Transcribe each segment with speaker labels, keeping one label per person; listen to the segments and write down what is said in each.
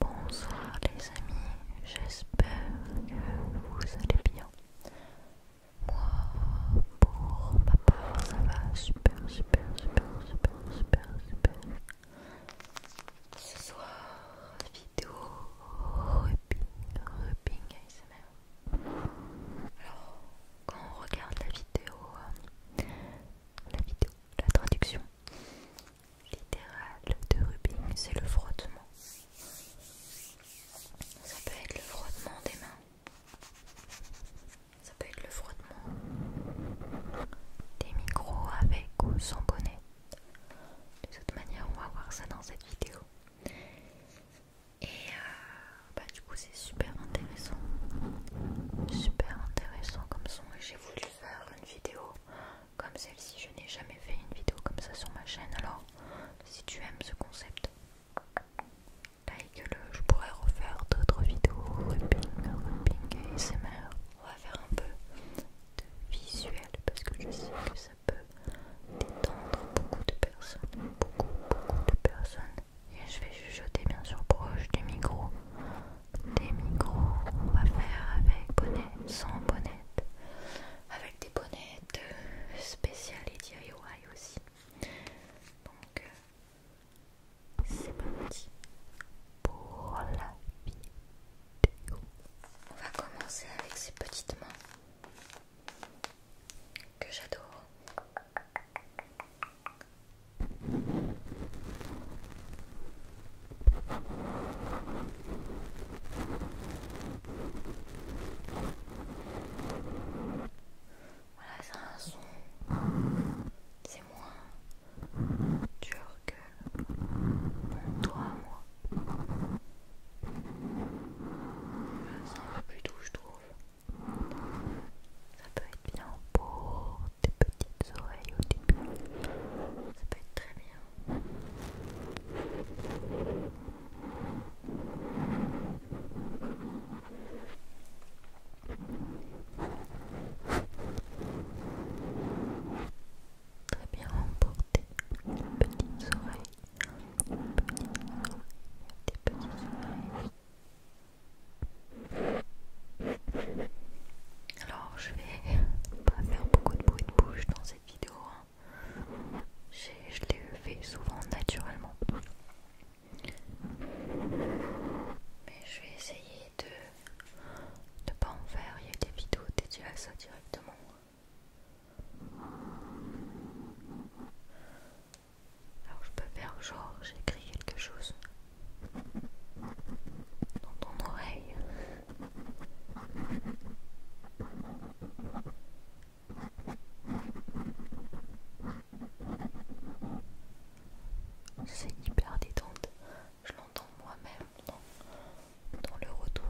Speaker 1: Bonsoir les amis, j'espère que vous allez bien. Moi, pour ma part, ça va super, super, super, super, super, super. Ce soir, vidéo rubbing, rubbing ASMR. Alors, quand on regarde la vidéo, euh, la vidéo, la traduction littérale de rubbing, c'est le frottement. Ça peut être le frottement des mains. Ça peut être le frottement des micros avec ou sans bonnet. De toute manière, on va voir ça dans cette vidéo. Et euh, bah, du coup, c'est super intéressant. Super intéressant comme son. J'ai voulu faire une vidéo comme celle-ci. Je n'ai jamais fait une vidéo comme ça sur ma chaîne. Alors, si tu aimes ce concept, like le, je pourrais refaire d'autres vidéos rubbing, rubbing et ASMR. On va faire un peu de visuel parce que je sais que ça peut détendre beaucoup de personnes, beaucoup, beaucoup de personnes. Et je vais chuchoter bien sûr proche des micros, Des micros, on va faire avec bonnet, sans bonnet, avec des bonnettes spéciales et DIY aussi. Donc, euh, c'est parti pour la vidéo. On va commencer avec ces petites mains que j'adore. Voilà, c'est un son. C'est moins dur que toi, moi. Ça c'est plus doux, je trouve. Ça peut être bien pour tes petites oreilles au début. Ça peut être très bien. Très bien emporté. Petites Petites oreilles. Des petites oreilles. Alors je vais pas faire beaucoup de bruit de bouche dans cette vidéo. Hein. Je l'ai fait souvent naturellement. Mais je vais essayer de ne pas en faire. Il y a des vidéos dédiées à ça directement. Alors je peux faire genre j'écris quelque chose dans ton oreille. C'est hyper détente. Je l'entends moi-même dans, le retour.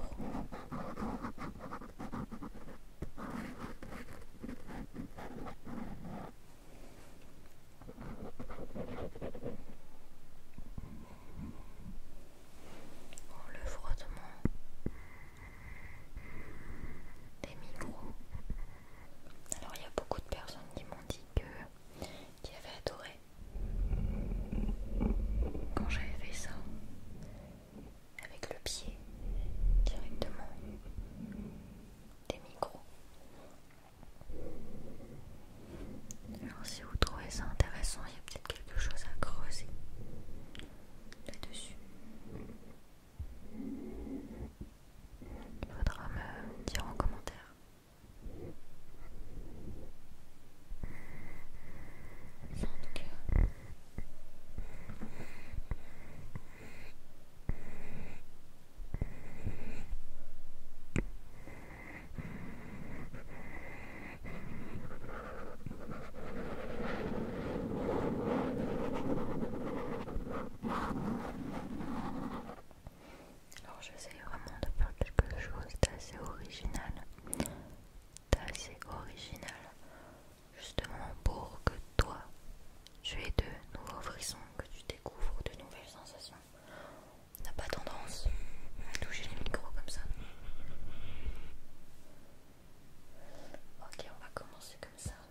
Speaker 1: le frottement des micros. Alors il y a beaucoup de personnes qui m'ont dit que qui avaient adoré quand j'avais fait ça avec le pied directement des micros. Alors si vous trouvez ça intéressant, il y a peut-être quelque chose à creuser là-dessus. Il faudra me dire en commentaire. Alors j'essaie vraiment de faire quelque chose d'assez original, d'assez original, justement pour que toi tu aies de nouveaux frissons, que tu découvres de nouvelles sensations. On n'a pas tendance à toucher les micros comme ça. Ok, on va commencer comme ça.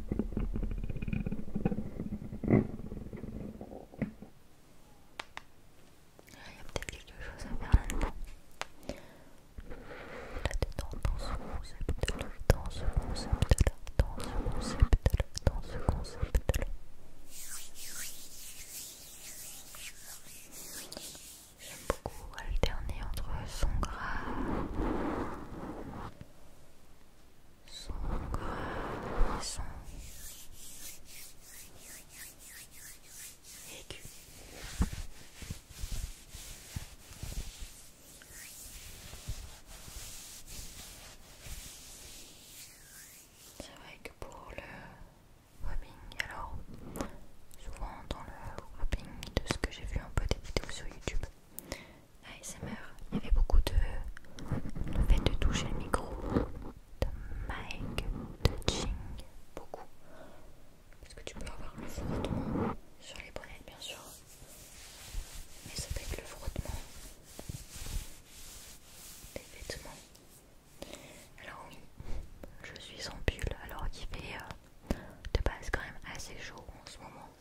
Speaker 1: Il y a peut-être quelque chose à faire là-dedans. Là-dedans, dans ce concept-là, dans ce concept-là, dans ce concept-là, dans ce concept-là. J'aime beaucoup alterner entre son grave c'est vrai que pour le Rubbing, alors souvent dans le rubbing de ce que j'ai vu un peu des vidéos sur YouTube, ASMR. Il y avait beaucoup de, le fait de toucher le micro, de mic, de touching, beaucoup. Parce que tu peux avoir le frottement sur les bonnets, bien sûr. Mais ça fait être le frottement des vêtements. Alors oui, je suis en pull alors qu'il fait euh, de base quand même assez chaud en ce moment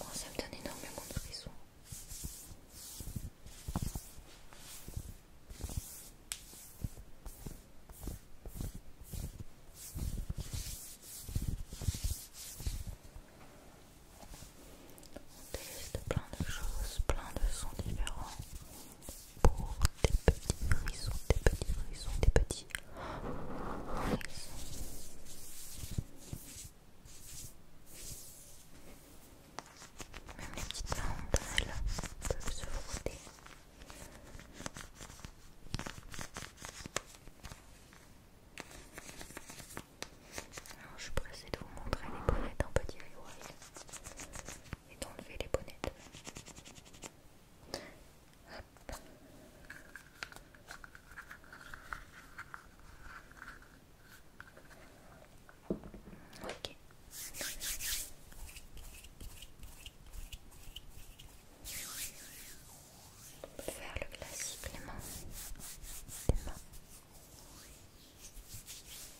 Speaker 1: Oh, ça me donne énormément de frissons. On teste plein de choses, plein de sons différents pour des petits frissons, des petits frissons, des petits même les petites elles peuvent se frotter. Alors, je suis pressée de vous montrer les bonnettes en petit DIY et d'enlever les bonnettes. On peut faire le classique les mains. Les mains.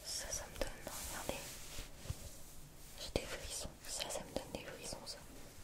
Speaker 1: Ça, ça me donne. Regardez. J'ai des frissons. Ça, ça me donne des frissons. Ça.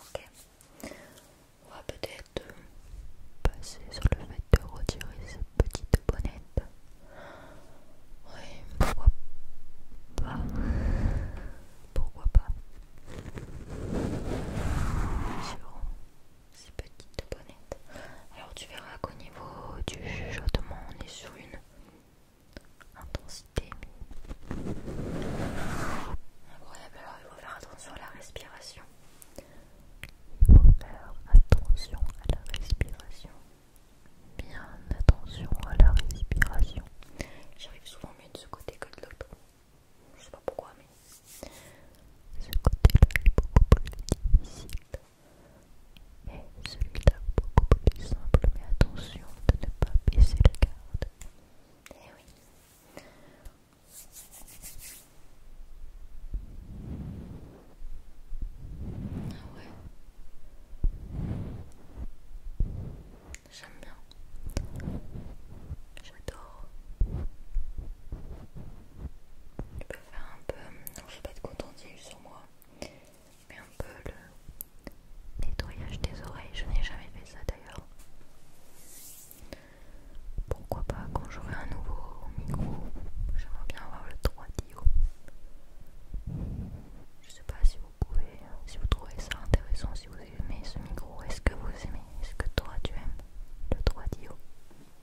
Speaker 1: Ok, on va peut-être euh, passer sur le fait de retirer cette petite bonnette. Oui, pourquoi pas Pourquoi pas ces petites bonnettes. Alors tu verras qu'au niveau du chuchotement, on est sur une intensité. Incroyable, alors il faut faire attention à la respiration. Il faut faire attention à la respiration. Bien attention à la respiration. J'arrive souvent mieux de ce côté que de l'autre. Je sais pas pourquoi, mais ce côté-là est beaucoup plus difficile. Et celui-là beaucoup plus simple, mais attention de ne pas baisser la garde. Eh oui. Ah ouais. J'aime bien. J'adore. Tu peux faire un peu... Non, je vais pas être contentée sur moi mais un peu le nettoyage des oreilles. Je n'ai jamais fait ça d'ailleurs. Pourquoi pas quand j'aurai un nouveau micro J'aimerais bien avoir le 3 Dio. Je sais pas si vous pouvez, si vous trouvez ça intéressant, si vous aimez ce micro. Est-ce que vous aimez Est-ce que toi tu aimes le 3 Dio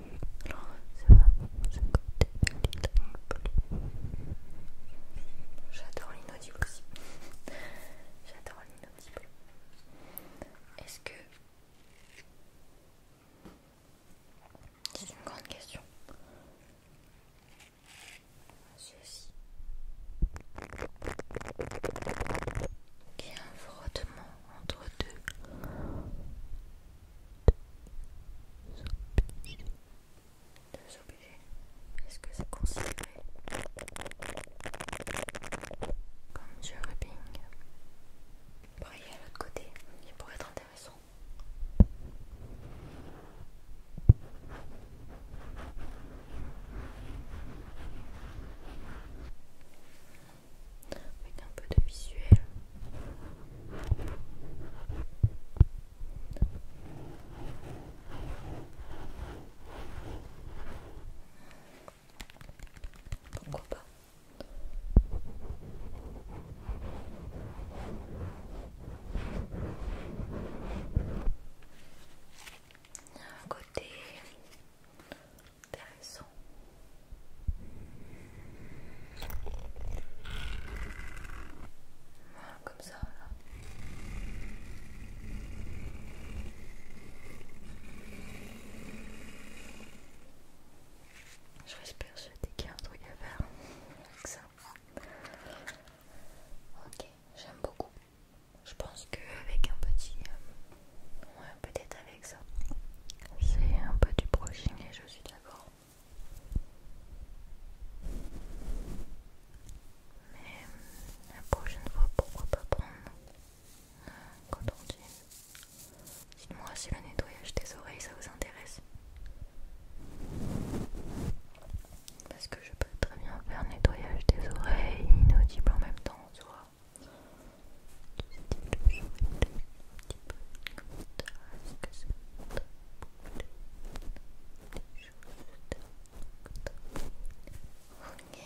Speaker 1: J'adore l'inaudible aussi. J'adore l'inaudible. Est-ce que. C'est une grande question. Ceci. Qui a un frottement entre deux deux objets, Est-ce que c'est considéré comme du rubbing Pareil à l'autre côté, il pourrait être intéressant. Avec un peu de visuel. Pourquoi pas un côté intéressant voilà, comme ça, là. Je respire, persuadée qu'il y a un truc à avec ça. Ok, j'aime beaucoup. Je pense qu'avec un petit. Euh, ouais, peut-être avec ça. C'est un peu du brushing et je suis d'accord. Mais la prochaine fois, pourquoi pas prendre un coton dit Dites-moi si le nettoyage des oreilles ça vous intéresse. Parce que je peux très bien faire nettoyage des oreilles inaudible en même temps, tu vois un petit peu comme ça, que c'est ça tombe des choses Ok,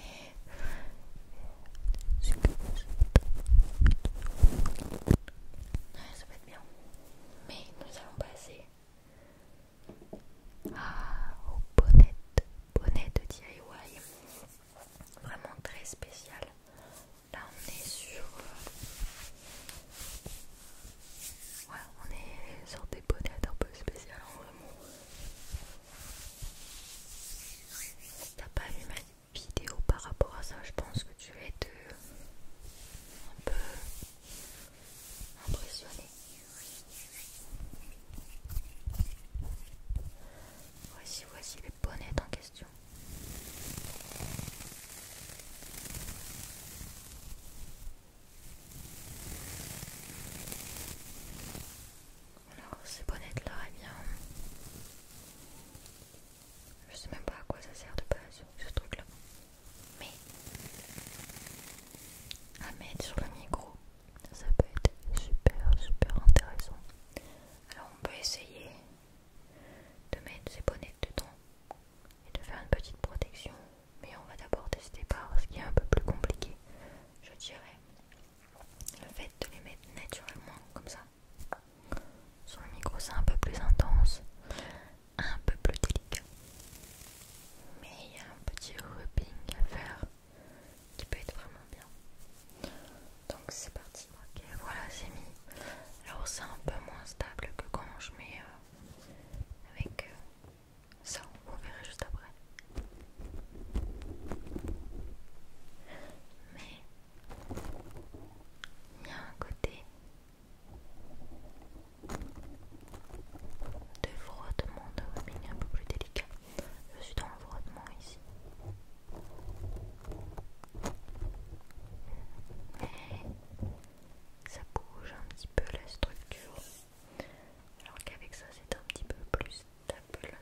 Speaker 1: c'est comme ça. Ouais, ça va être bien. Mais nous allons passer à, au bonnet, bonnet de DIY. Vraiment très spécial. Là on est sur... Euh, on est sur des bonnettes un peu spéciales, vrai. Si t'as pas vu ma vidéo par rapport à ça, je pense que tu es être euh, un peu impressionné. Voici, voici les bonnets en question. Alors, ces bonnettes là, eh bien. Je sais même pas à quoi ça sert de base, ce truc là. Mais. À mettre sur le micro, ça peut être super, super intéressant. Alors, on peut essayer de mettre ses bonnets dedans et de faire une petite protection. Mais on va d'abord tester par ce qui est un peu plus compliqué, je dirais. Le fait de les mettre naturellement comme ça. Sur le micro c'est un peu plus intense, un peu plus délicat. Mais il y a un petit rubbing à faire qui peut être vraiment bien donc c'est parti ok voilà c'est mis alors c'est un peu moins stable que quand je mets euh, avec euh, ça vous verrez juste après mais il y a un côté de frottement de robin un peu plus délicat je suis dans le frottement ici ça bouge un petit peu la structure alors qu'avec ça c'est un petit peu plus stable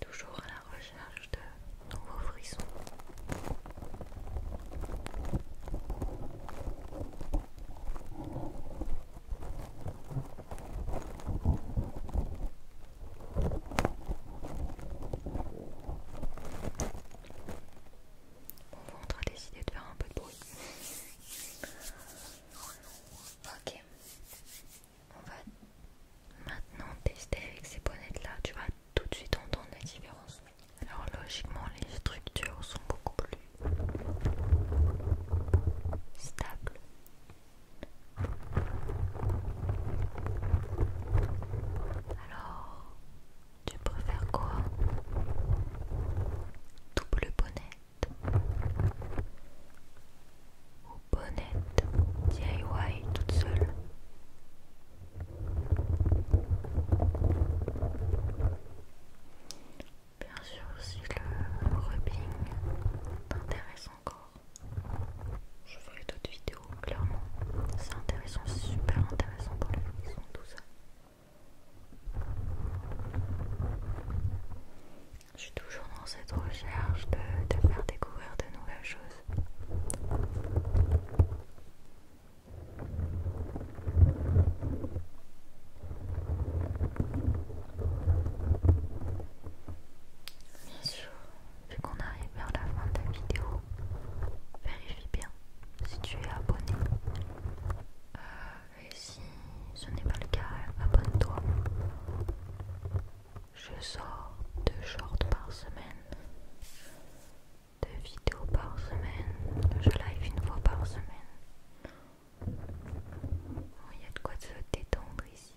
Speaker 1: Toujours à la recherche de nouveaux frissons. va ventre a décidé de faire un peu de Ok, on va maintenant tester avec ces bonnettes là. Tu vas tout de suite entendre la différence. Alors, logiquement, les structures sont beaucoup plus stables. Alors, tu préfères quoi Double bonnet ou bonnette DIY toute seule Bien sûr, si le rubbing t'intéresse encore, je ferai d'autres vidéos, clairement. C'est intéressant, super intéressant pour ils sont tout ça. Je suis toujours dans cette recherche de faire découvrir de nouvelles choses. Bien sûr, vu qu'on arrive vers la fin de la vidéo, vérifie bien si tu es abonné. Euh, et si ce n'est pas le cas, abonne-toi. Je sors deux shorts par semaine, deux vidéos par semaine, je live une fois par semaine. Oh, il y a de quoi se détendre ici.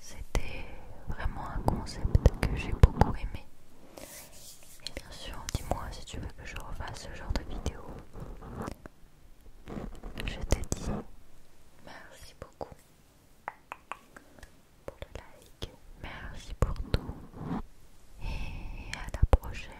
Speaker 1: C'était vraiment un concept que j'ai beaucoup aimé. Et bien sûr, dis-moi si tu veux que je refasse ce genre de vidéo. Je te dis merci beaucoup pour le like, merci pour tout et à la prochaine.